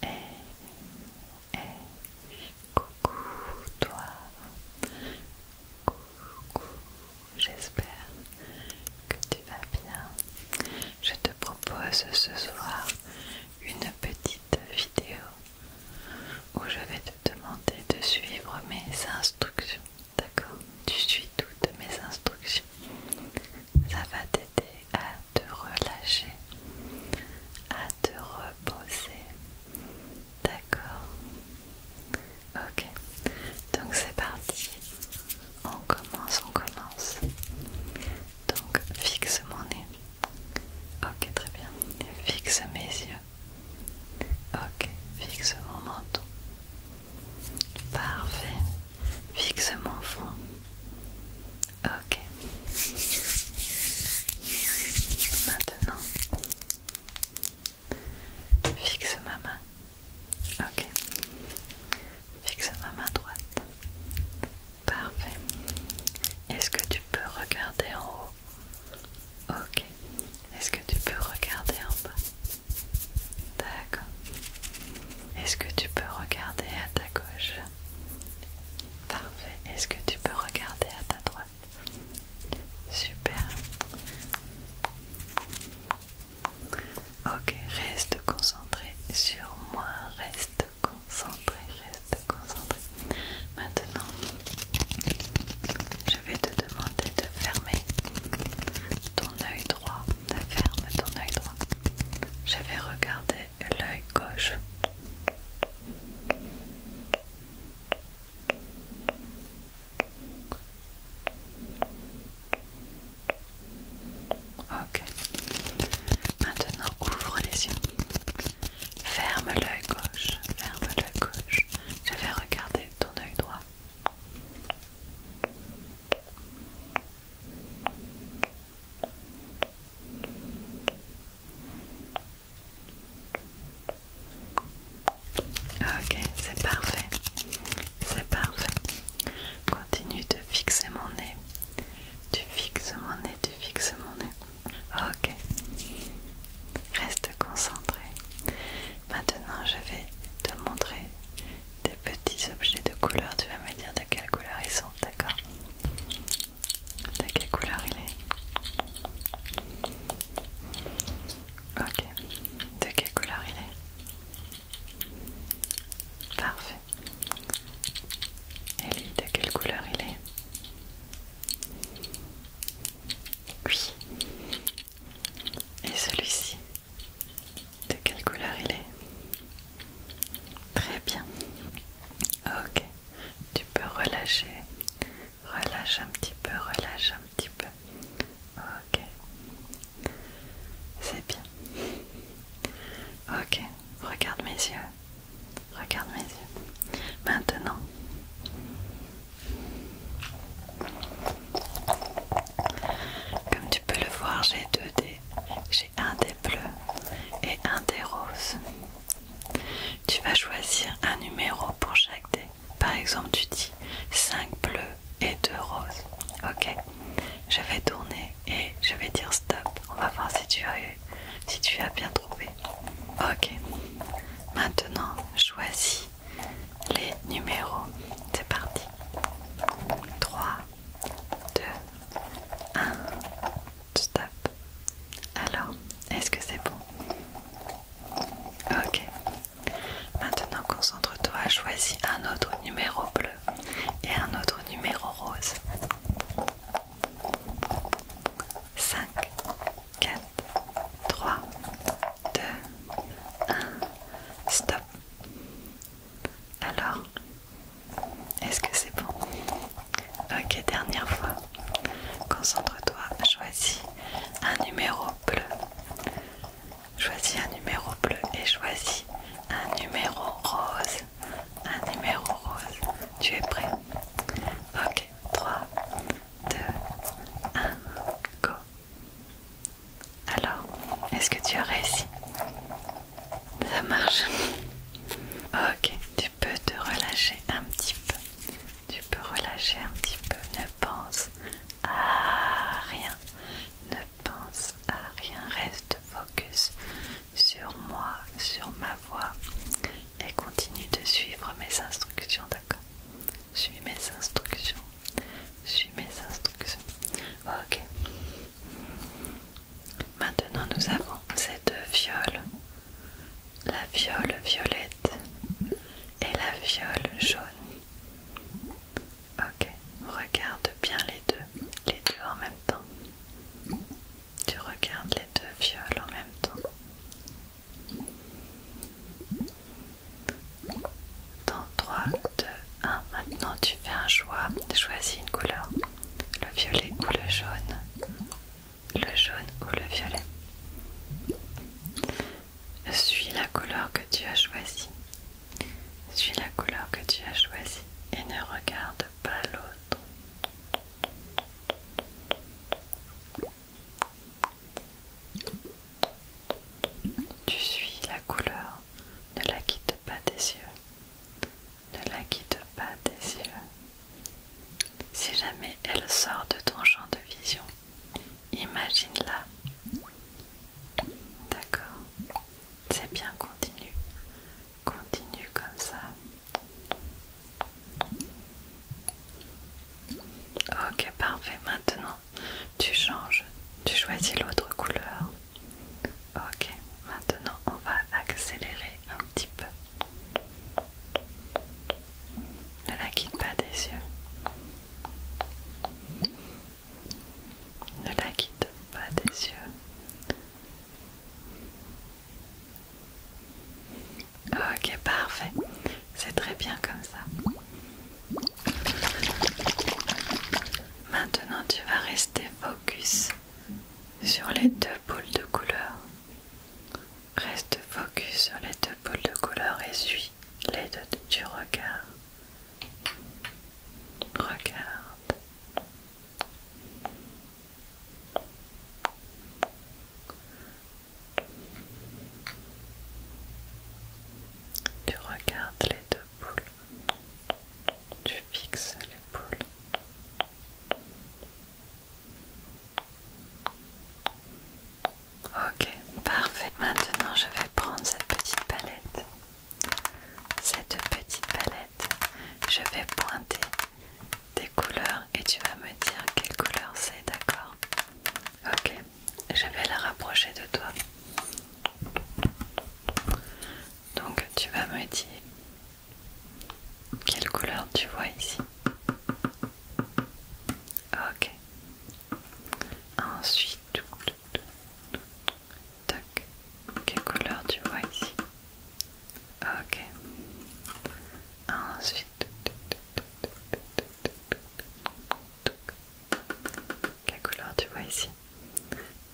Hey, hey, coucou toi, coucou, j'espère que tu vas bien. Je te propose ce soir une petite vidéo où je vais te demander de suivre mes instructions. D'accord Tu suis toutes mes instructions. Ça va t'aider à te relâcher, à te reposer. D'accord Ok, donc c'est parti. On commence, on commence. Donc fixe mon nez. Ok, très bien. fixe mes yeux. Ok, fixe mon menton. Parfait. Fixe mon front. Ok. Maintenant, fixe ma main. Ok. Fixe ma main droite. Parfait. Est-ce que tu peux regarder en haut Ok. Est-ce que tu peux regarder en bas D'accord. Est-ce que tu peux regarder à ta gauche Parfait. Est-ce que tu peux regarder à ta droite Super. Ok, reste concentré sur moi. Reste concentré, reste concentré. Maintenant, je vais te demander de fermer ton œil droit. ferme ton œil droit. Je vais regarder l'œil gauche. Ok. Maintenant, ouvre les yeux. Ferme l'œil gauche. Ferme l'œil gauche. Je vais regarder ton œil droit. Ok, c'est parfait, c'est parfait. Continue de fixer mon nez, tu fixes mon nez, tu fixes mon nez. Ok, reste concentré. Maintenant, je vais te montrer des petits objets de couleur. Tu vas me dire de quelle couleur ils sont d'accord. De quelle couleur il est Ok. De quelle couleur il est Parfait. Et lui, de quelle couleur il est Oui. Et celui-ci, de quelle couleur il est Très bien. Ok. Tu peux relâcher. Relâche un petit peu, relâche un petit peu. Ok. C'est bien. Ok. Regarde mes yeux. Regarde mes yeux. Maintenant. Comme tu peux le voir, j'ai deux dés un des bleus et un des roses. Tu vas choisir un numéro pour chaque dé. Par exemple, tu dis 5 bleus et 2 roses. Ok Je vais tourner et je vais dire stop. On va voir si tu as, si tu as bien trouvé. Ok. Maintenant, choisis les numéros. C'est parti. 3, 2, 1, stop. Alors, est-ce que c'est bon Ok. Maintenant, concentre-toi, choisis un autre numéro bleu et un autre numéro rose. 5, 4, 3, 2, 1, stop. Alors, est-ce que c'est bon Ok, dernière fois. Concentre-toi, choisis un numéro bleu. Choisis un numéro bleu et choisis un numéro rose. Un numéro rose. Tu es prêt Ok, 3, 2, 1, go. Alors, est-ce que tu as réussi ça marche. Ok, tu peux te relâcher un petit peu. Tu peux relâcher un petit peu. Ne pense à rien. Ne pense à rien. Reste focus sur moi, sur ma voix. Et continue de suivre mes instructions, d'accord Suis mes instructions. Suis mes instructions. Ok. Maintenant nous avons ces deux viols. la viole violette et la viole jaune. Ok, regarde bien les deux, les deux en même temps. Tu regardes les deux viols en même temps. Dans 3, 2, 1, maintenant tu fais un choix, choisis une couleur le violet ou le jaune, le jaune ou le violet. Suis la couleur que tu as choisie. Suis la couleur que tu as choisie et ne regarde pas l'autre. Tu suis la couleur, ne la quitte pas tes yeux ne la quitte pas des yeux. Si jamais elle sort de ton champ de vision, imagine-la. D'accord. C'est bien, continue. Continue comme ça. Ok, parfait. Maintenant, tu changes. Tu choisis l'autre couleur. Ok, maintenant on va accélérer un petit peu. Ne la quitte pas des yeux. Ne la quitte pas des yeux. Ok, parfait. C'est très bien comme ça. Maintenant, tu vas rester focus sur les deux boules de couleur. Reste focus sur les deux boules de couleur et suis les deux Tu regardes, Regarde. Tu regardes les deux boules tu fixes poules. Ok, parfait. Maintenant, je vais prendre cette petite palette. Cette petite palette, je vais pointer des couleurs et tu vas me dire quelle couleur c'est, d'accord Ok, je vais la rapprocher de toi. Donc tu vas me dire quelle couleur tu vois ici. Ok. Ensuite, tac. Quelle couleur tu vois ici. Ok. Ensuite, quelle couleur tu vois ici.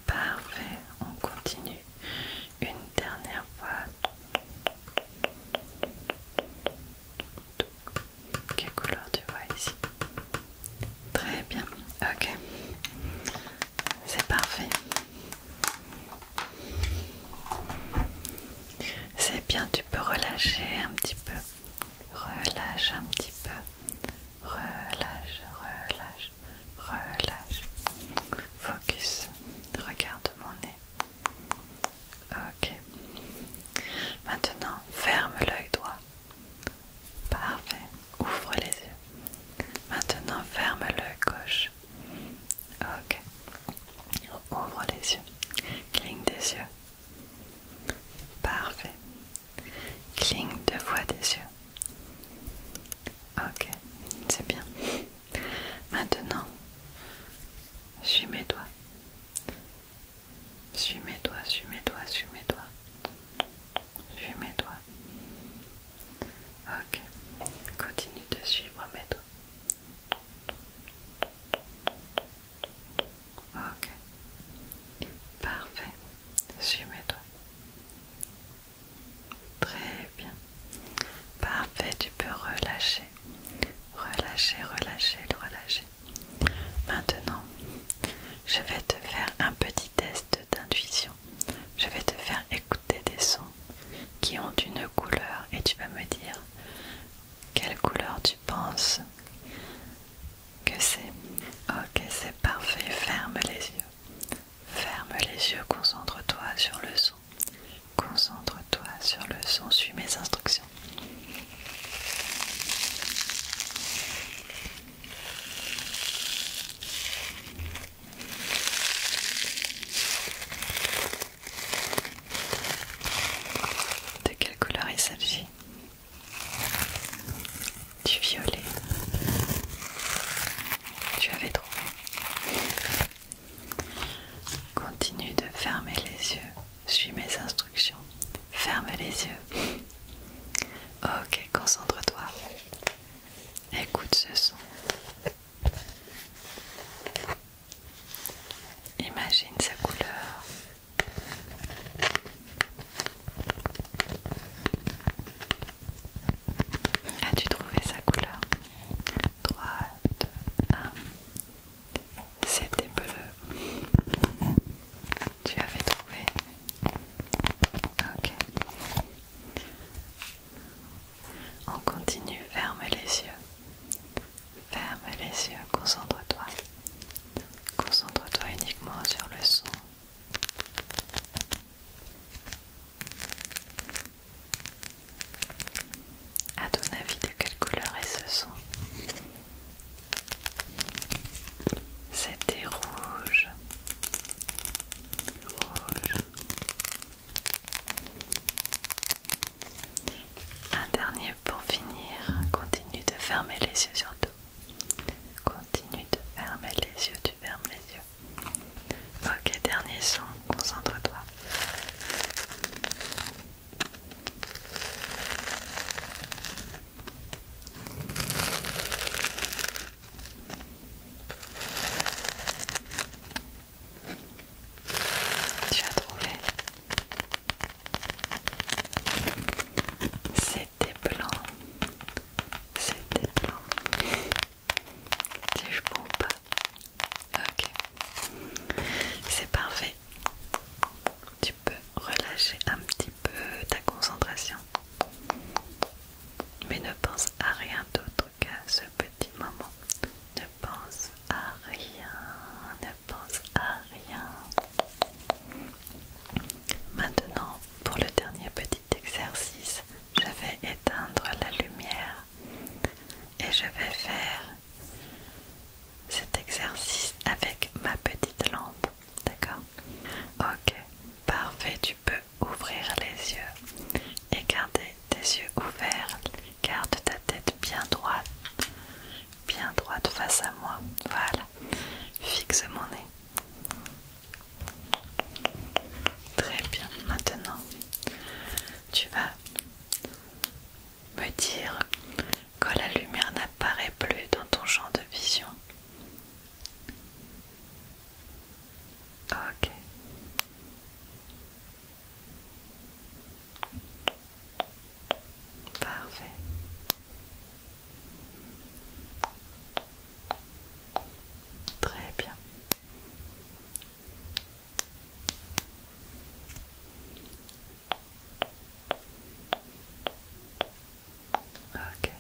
Parfait, on continue une dernière fois. Quelle couleur tu vois ici Très bien, ok. C'est parfait. C'est bien, tu peux relâcher un petit peu. Relâche un petit peu. Relâche, relâche relâche, focus, regarde mon nez. Ok. Maintenant, ferme l'œil droit. Parfait. Ouvre les yeux. Maintenant, ferme l'œil gauche. Ok. Ouvre les yeux. Cligne des yeux. Parfait. Cligne deux fois des yeux. Ok, c'est bien. Maintenant, suis mes doigts. Suis mes doigts, suis mes doigts, suis mes doigts. Suis mes doigts. Ok, continue de suivre mes doigts. Ok, parfait. Suis mes doigts. Très bien. Parfait, tu peux relâcher. Relâcher, relâcher, relâcher. Maintenant, je vais te faire un petit test d'intuition. Je vais te faire écouter des sons qui ont une couleur et tu vas me dire quelle couleur tu penses que c'est. Ok, c'est parfait. Ferme les yeux. Ferme les yeux, concentre-toi sur le son. Concentre-toi sur le son, suis mes instructions. De quelle couleur il s'agit du violet. Tu avais trop. Continue de fermer les yeux. Suis mes instructions. Ferme les yeux. Ok, concentre-toi. Écoute ce son. Imagine sa couleur. As-tu trouvé sa couleur 2, 1. Ah. C'était bleu. Tu avais trouvé. Ok. On continue. Ferme les yeux. Ferme les yeux. Concentre-toi. Concentre-toi uniquement sur le son. À ton avis, de quelle couleur est ce son C'était rouge. Rouge. Un dernier pour finir. Continue de fermer les yeux surtout. Continue de fermer les yeux, tu fermes les yeux. Ok, dernier son, concentre-toi. Tu as trouvé C'était blanc. C'était blanc si je pas. Ok, c'est parfait. Tu peux relâcher un petit peu ta concentration, mais ne pense à rien d'autre qu'à ce petit moment. Ne pense à rien, ne pense à rien. Maintenant, pour le dernier petit exercice, je vais éteindre la lumière et je vais faire cet exercice avec ma petite lampe. D'accord Ok, parfait, tu peux ouvrir les yeux et garder tes yeux ouverts. Garde ta tête bien droite, bien droite face à moi. Voilà, fixe mon nez. Très bien, maintenant tu vas me dire que la lumière n'apparaît plus dans ton champ de vision. Ok. Parfait. Très bien. Ok.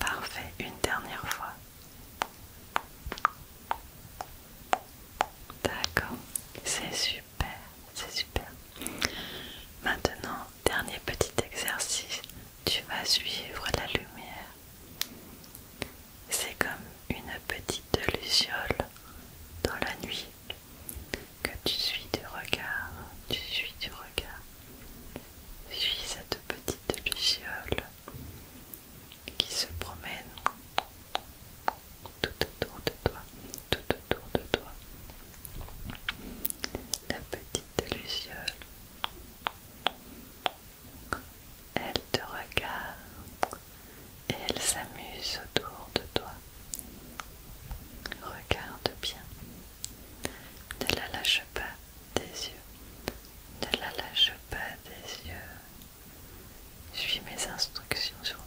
Parfait, une dernière fois. D'accord, c'est sûr super, c'est super. Maintenant, dernier petit exercice, tu vas suivre la lumière. C'est comme une petite luciole dans la nuit que tu suis du regard, tu suis du regard. Suis cette petite luciole qui se promène tout autour de toi tout autour de toi. La petite luciole, elle te regarde et elle s'amuse autour de toi. Regarde bien, ne la lâche pas des yeux, ne la lâche pas des yeux. Suis mes instructions surtout.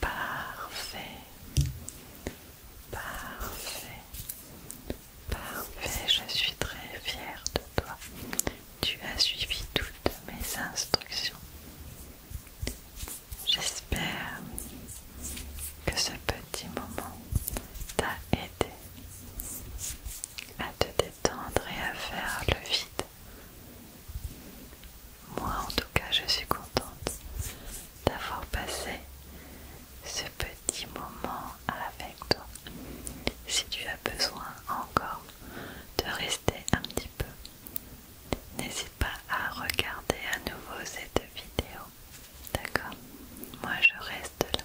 Parfait. Parfait. Parfait, je suis très fière de toi. Tu as suivi toutes mes instructions. J'espère que ce petit moment t'a aidé à te tendre et à faire le vide. Moi en tout cas je suis contente d'avoir passé ce petit moment avec toi. Si tu as besoin encore de rester un petit peu, n'hésite pas à regarder à nouveau cette vidéo. D'accord Moi je reste là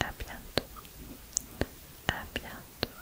à bientôt, à bientôt.